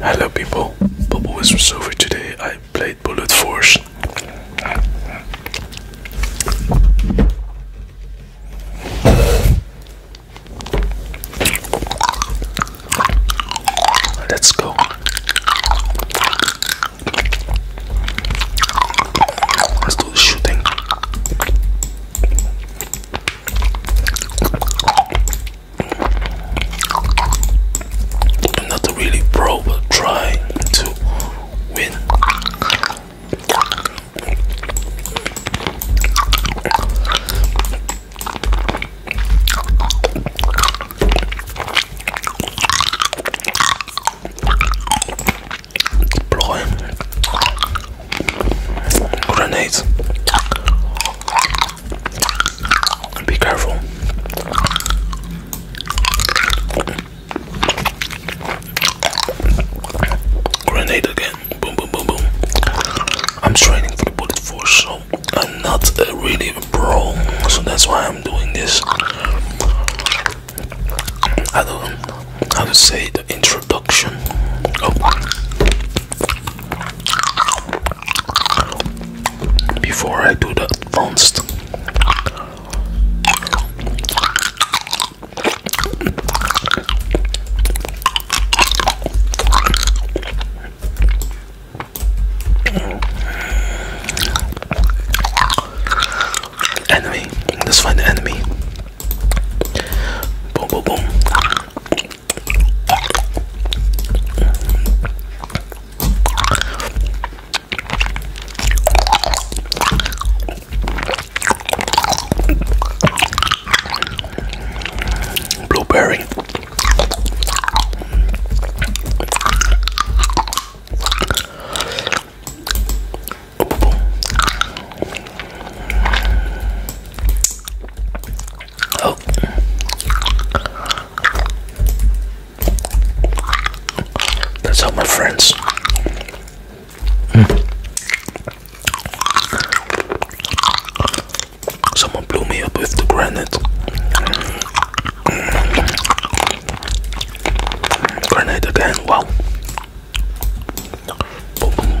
Hello people, Bubble is Silver today. I played Bullet Force. Let's go. Let's do the shooting not really pro but trying to win deploy grenades be careful. Grenade again. Boom, boom, boom, boom. I'm training for the bullet force, so I'm not uh, really a pro, so that's why I'm doing this. I don't know how to say the introduction. Oh before I do the advanced. Enemy, let's find the enemy. Boom, boom, boom. Blueberry. Oh. That's how my friends. Hmm. Someone blew me up with the granite. Mm. Grenade again, wow. Boom.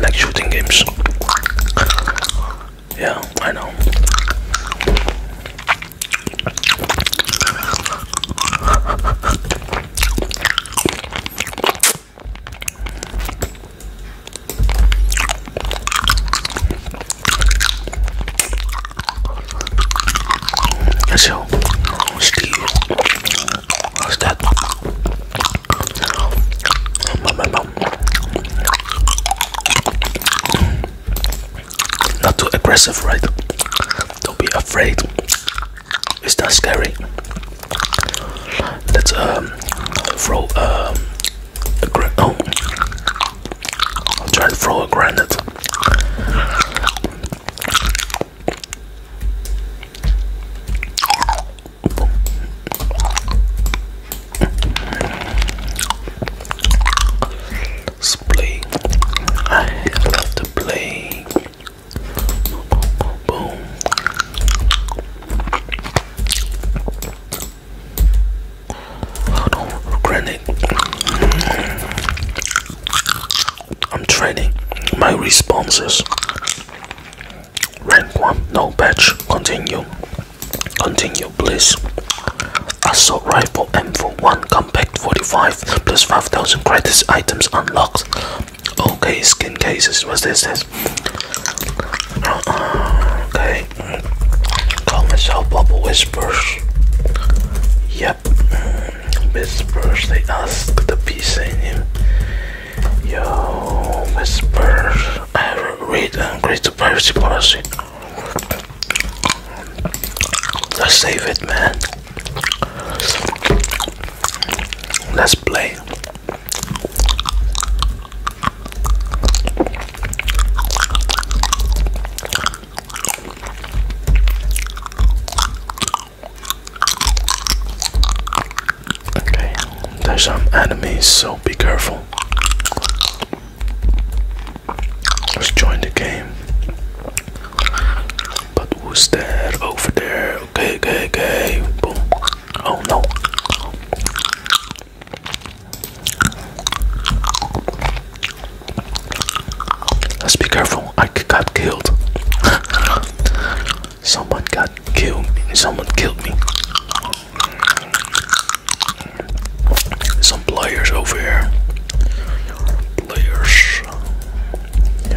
Like shooting games. Yeah, I know. So, Steve, what's that? Not too aggressive, right? Don't be afraid. It's not scary. Let's um throw um Oh. I'm trying to throw a grenade. Play. I love to play. Boom. Granted, I'm training my responses. Rank 1, no patch, continue. Continue, please. Assault rifle M41 compact 45 plus 5000 credits items unlocked. Okay, skin cases. What's this? this? Uh, uh, okay. Call myself Bubble Whisper. Yep. Mm, Whispers, they ask the peace in him. Yo, Whispers, I read and agree the privacy policy. Let's save it, man. Let's play. Okay, there's some enemies, so be careful. Let's join the game. But who's that over there? Okay, okay, okay. Boom. Oh no. Let's be careful. I got killed. Someone got killed. Someone killed me. Some players over here. Players. You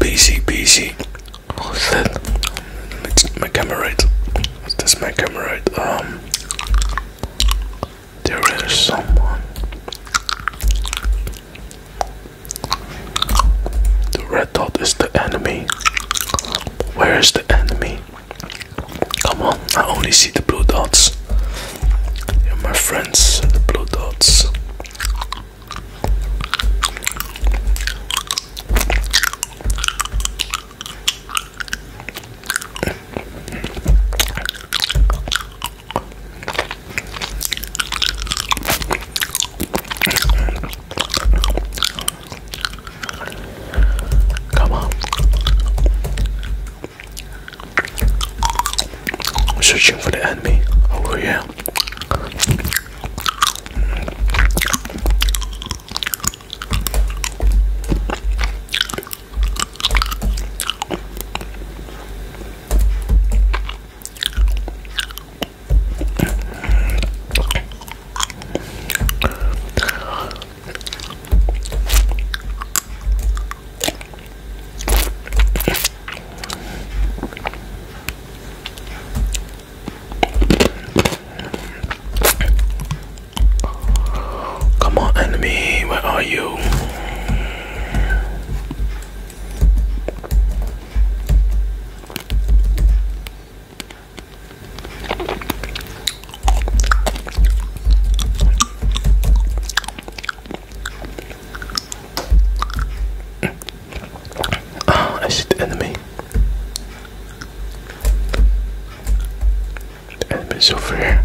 PC, PC. What's that? my camera right. That's my camera right. Um. There is someone. The red dot is the enemy. Where is the enemy? Come on, I only see the blue dots. They're my friends, the blue dots. Come on. Searching for the enemy Oh yeah. Come on, enemy, where are you? Oh, I shoot the enemy the enemies over here.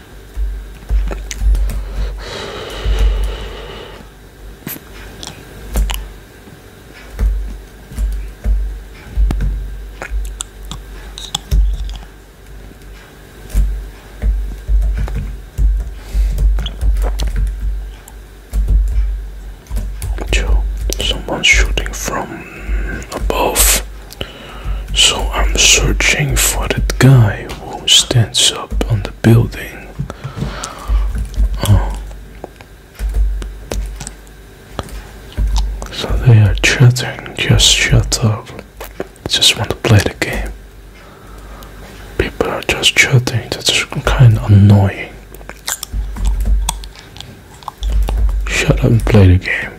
Joe, someone's shooting from above. So I'm searching for that guy who stands up on the building. Oh. So they are chatting, just shut up. Just want to play the game. People are just chatting, that's kind of annoying. Shut up and play the game.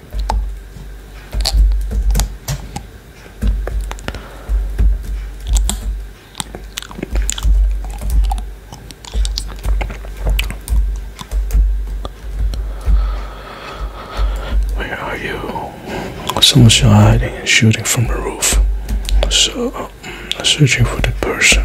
Where are you? Someone's hiding and shooting from the roof. So, um, searching for the person.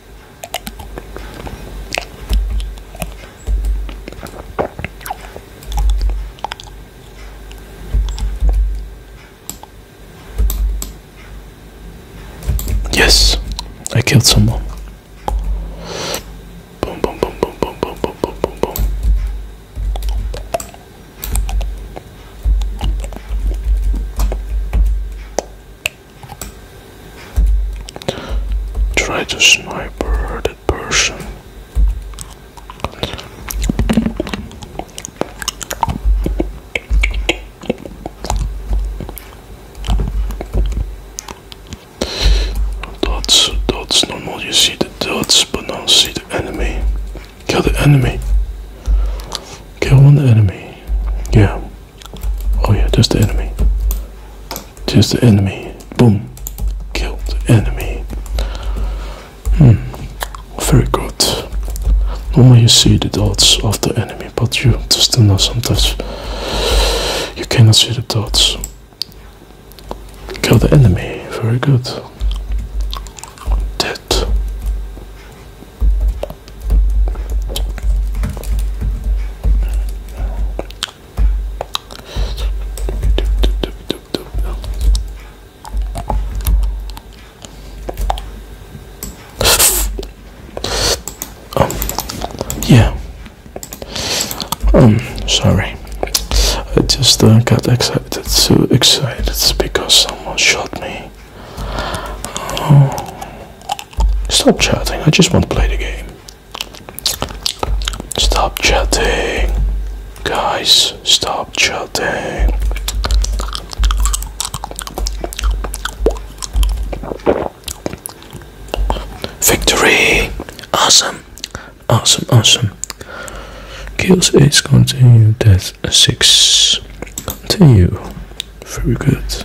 Yes, I killed someone. Try to sniper that person. Dots, dots, normal you see the dots, but now see the enemy. Kill the enemy. Kill one enemy. Yeah. Oh yeah, just the enemy. Just the enemy. Boom. Killed enemy. Hmm. Very good. Normally you see the dots of the enemy, but you still know sometimes you cannot see the dots. Kill the enemy. Very good. Dead. Um, yeah. Um, sorry. I just uh, got excited, so excited because someone shot me. Oh. Stop chatting, I just want to play the game. Stop chatting. Guys, stop chatting. Victory! Awesome! Awesome, awesome. Kills 8, continue. Death 6, continue. Very good.